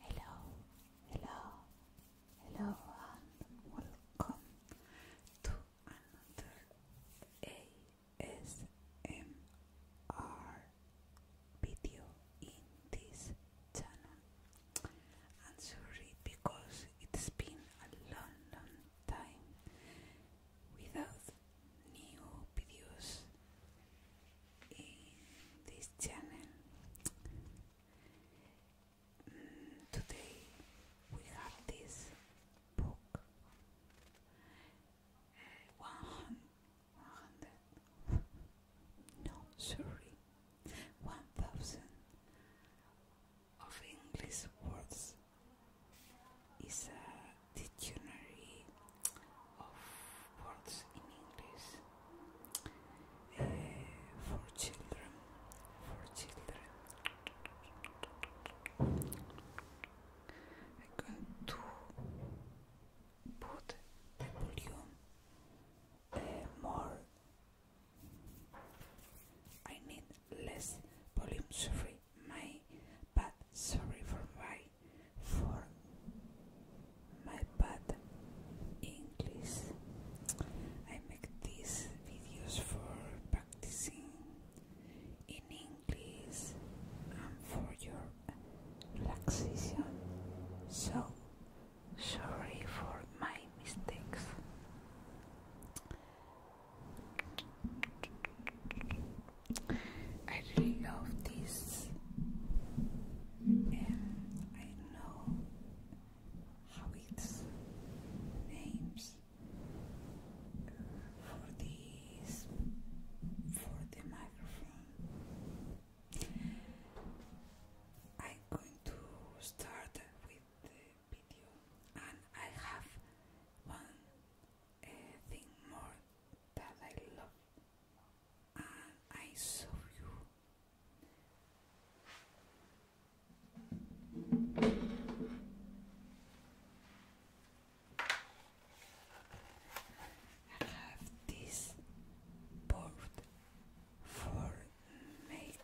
Hello, hello, hello, and welcome to another ASMR video in this channel. I'm sorry because it's been a long, long time without new videos in this channel. Mm, today we have this book. Uh, 100 no, sorry, 1000 of English words is a dictionary of words in English uh, for children. For children, I'm to put volume uh, more. I need less volume. Sorry, my but sorry for my for my bad English. I make these videos for practicing in English and for your relaxation. So sorry for my mistakes. I really love this, and I know how it's names for this for the microphone. I'm going to start with the video, and I have one uh, thing more that I love and I serve you. I have this board for make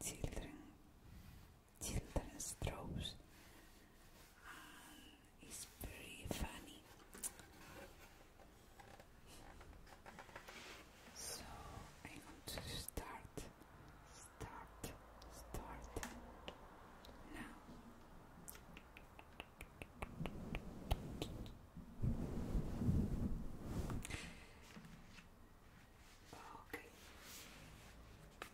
children children's throws it's pretty funny. So I'm to start, start, start now. Okay.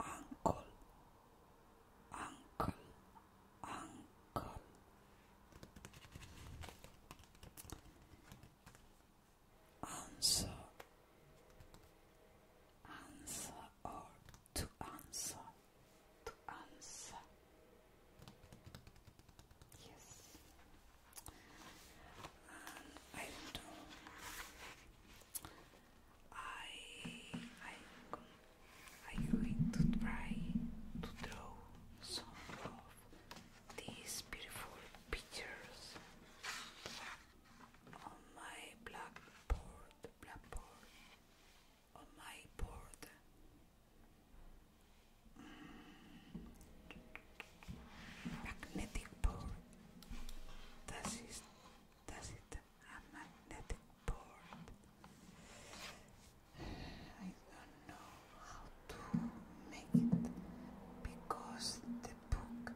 Uncle, uncle, uncle. Answer, answer, or to answer, to answer. Yes and I don't I I I'm going to try to draw some of these beautiful pictures on my blackboard, blackboard, on my board magnetic pole. Does it, a magnetic board? I don't know how to make it because the book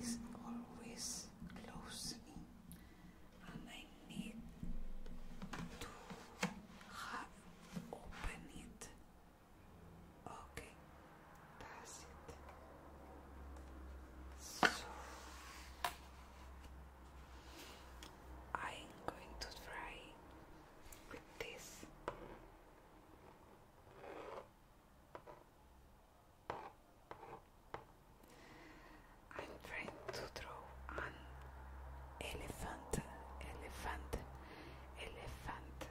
is always closing and I need to have open it Okay, that's it. So I'm going to try with this. I'm trying to draw an elephant, elephant, elephant,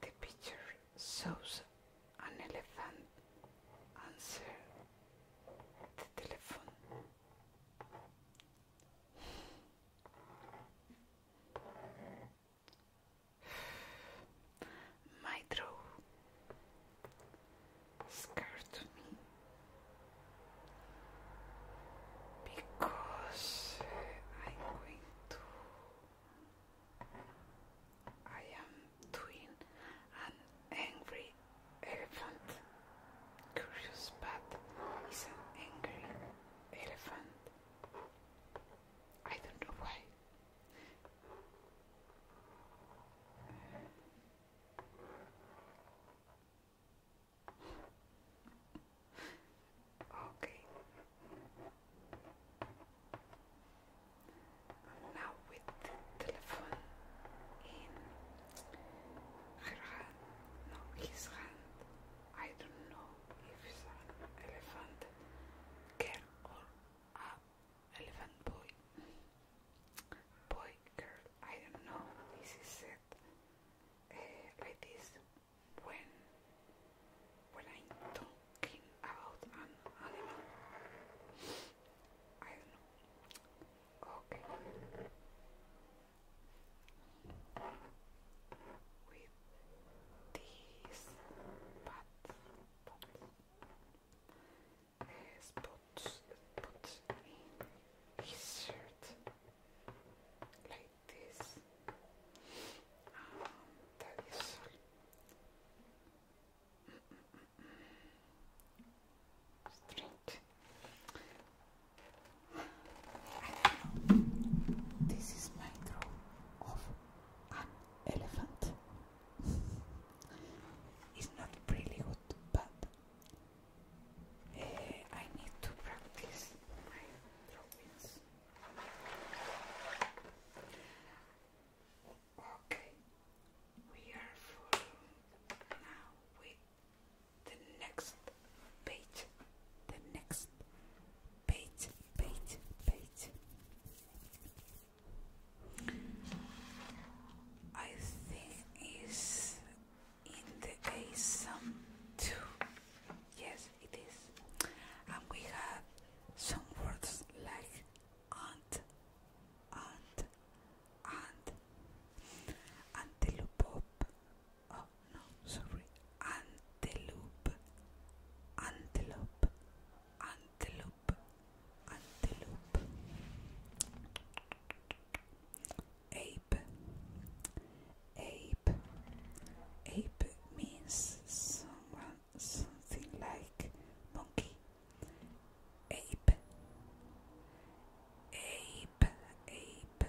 the picture shows an elephant answer the telephone. My draw scared me because I'm going to. I am doing an angry elephant. Curious, but he's an angry elephant. I don't know why. Okay. Now with the telephone in her hand, no, his hand. I don't know if it's an elephant, girl or a elephant boy? Boy, girl, I don't know. This is said uh, when when I'm talking about an animal. I don't know. Okay these pots, pots, pots, pots in his like this. Ah, that is all. I don't know. This is my draw of an elephant. it's not really good, but eh, I need to practice Okay, we are full now with the next page, the next bait, bait, bait. I think it's in the ASAM too. Yes, it is. And we have some words like aunt, aunt, aunt, antelope, oh, no, sorry, antelope, antelope, antelope, antelope, ape, ape, ape means someone, something like monkey, ape, ape, ape.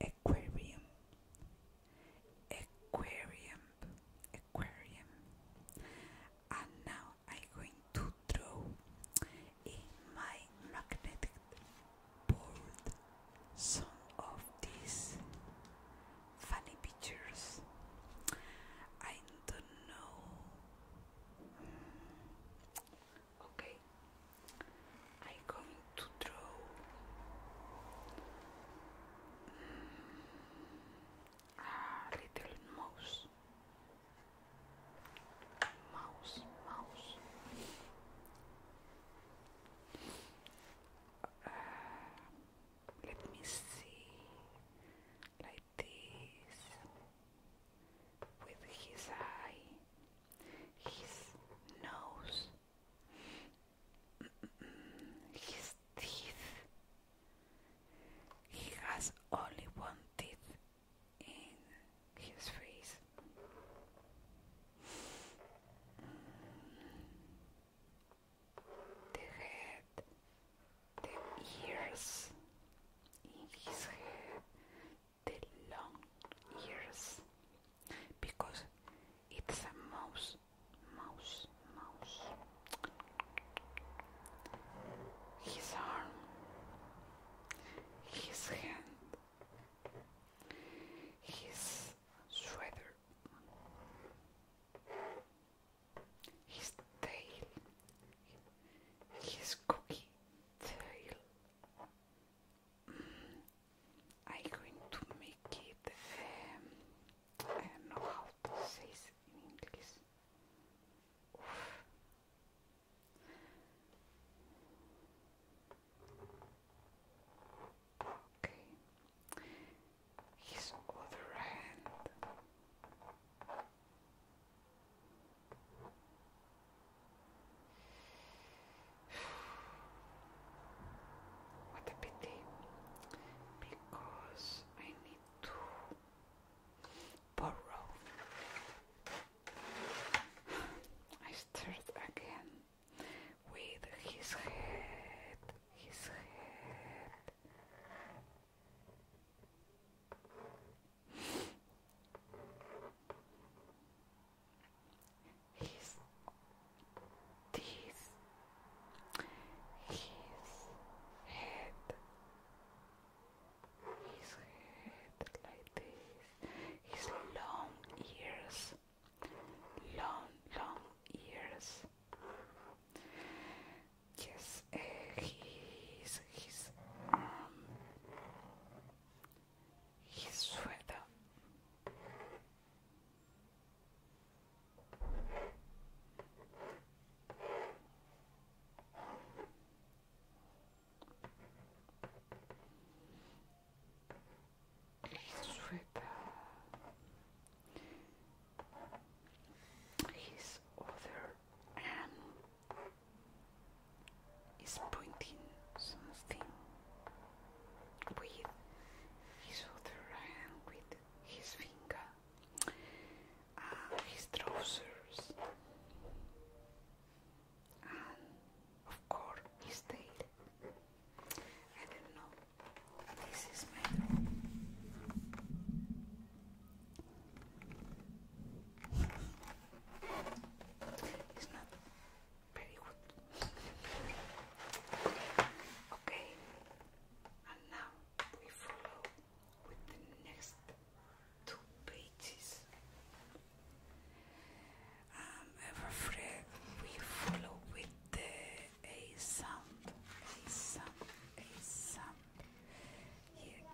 aquarium aquarium aquarium and now I'm going to draw in my magnetic board some of these funny pictures I don't know okay I'm going to draw a ah, little mouse mouse mouse let me see like this with his eye his nose, his teeth. He has only one tooth in his face. The head, the ears in his head, the long ears because it's a mouse, mouse, mouse. His arm, his hand, his sweater, his tail, his cookie tail. I'm going to make it. Um, I don't know how to say it in English. Okay, his other hand. What a pity, because I need to borrow. I start again with his head, his head. He's this his head his head like this his long ears long long ears yes uh, his his arm um, his sweater. His sweater. His other arm is pointing something with his other hand, with his finger, uh, his trousers, and of course his tail. I don't know. This is metal. It's not very good. okay, and now we follow with the next two pages. Um, ever afraid we follow with the A sound, A sound, A sound here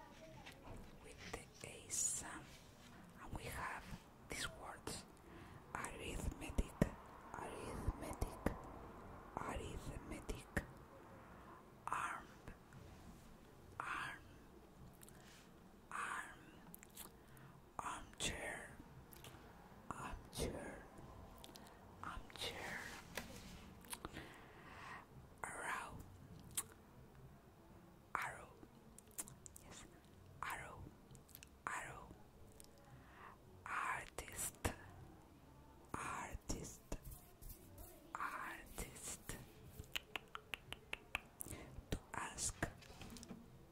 with a sum, and we have these words arithmetic, arithmetic, arithmetic, arm, arm, arm, armchair, armchair, armchair, arrow arrow yes arrow arrow artist artist artist to ask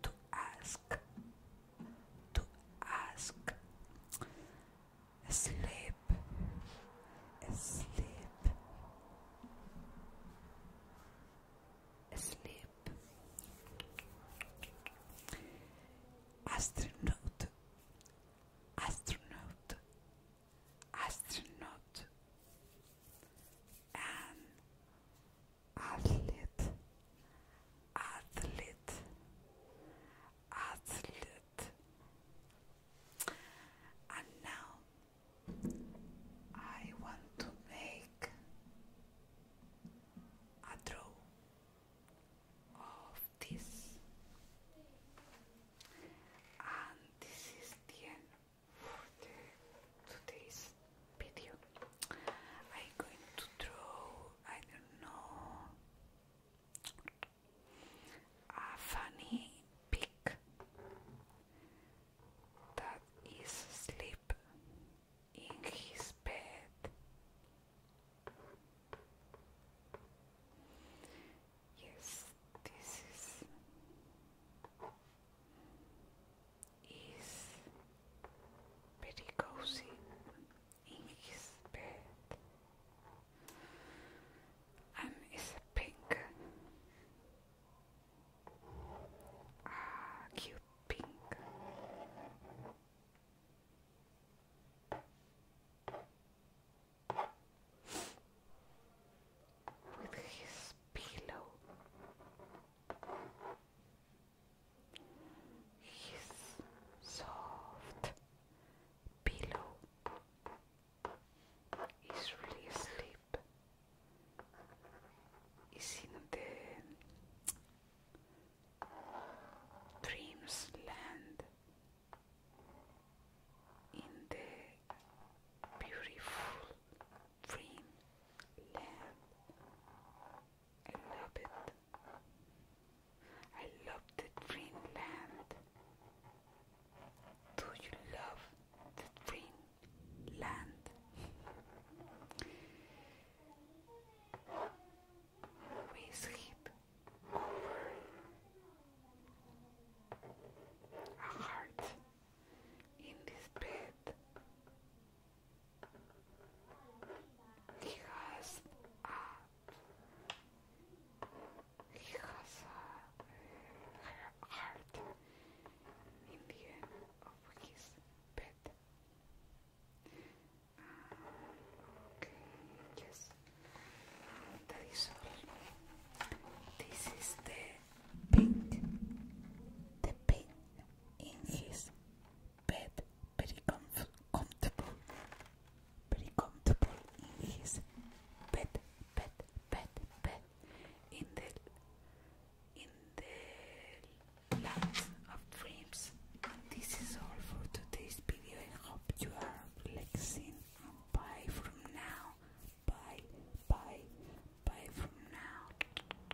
to ask to ask slave asleep, asleep, Astronaut, astronaut, astronaut, and athlete, athlete, athlete it. And now I want to make a draw of this. And this is the end for today's video. I'm going to draw, I don't know, a funny pig that is asleep in his bed. Yes, this is is very cozy in his bed and um, it's pink, ah, cute pink. With his pillow, his soft pillow, He's really asleep. He's in the dreams in the beautiful dream I love it. I love the dreamland. Do you love the dream We skip over a heart in this bed. He has a because uh, her art in the end of his bed. This is the paint, the paint in his bed, very comfortable very comfortable in his bed, bed, bed, bed, in the in the land of dreams. This is all for today's video. I hope you are relaxing. Bye from now. Bye, bye, bye from now.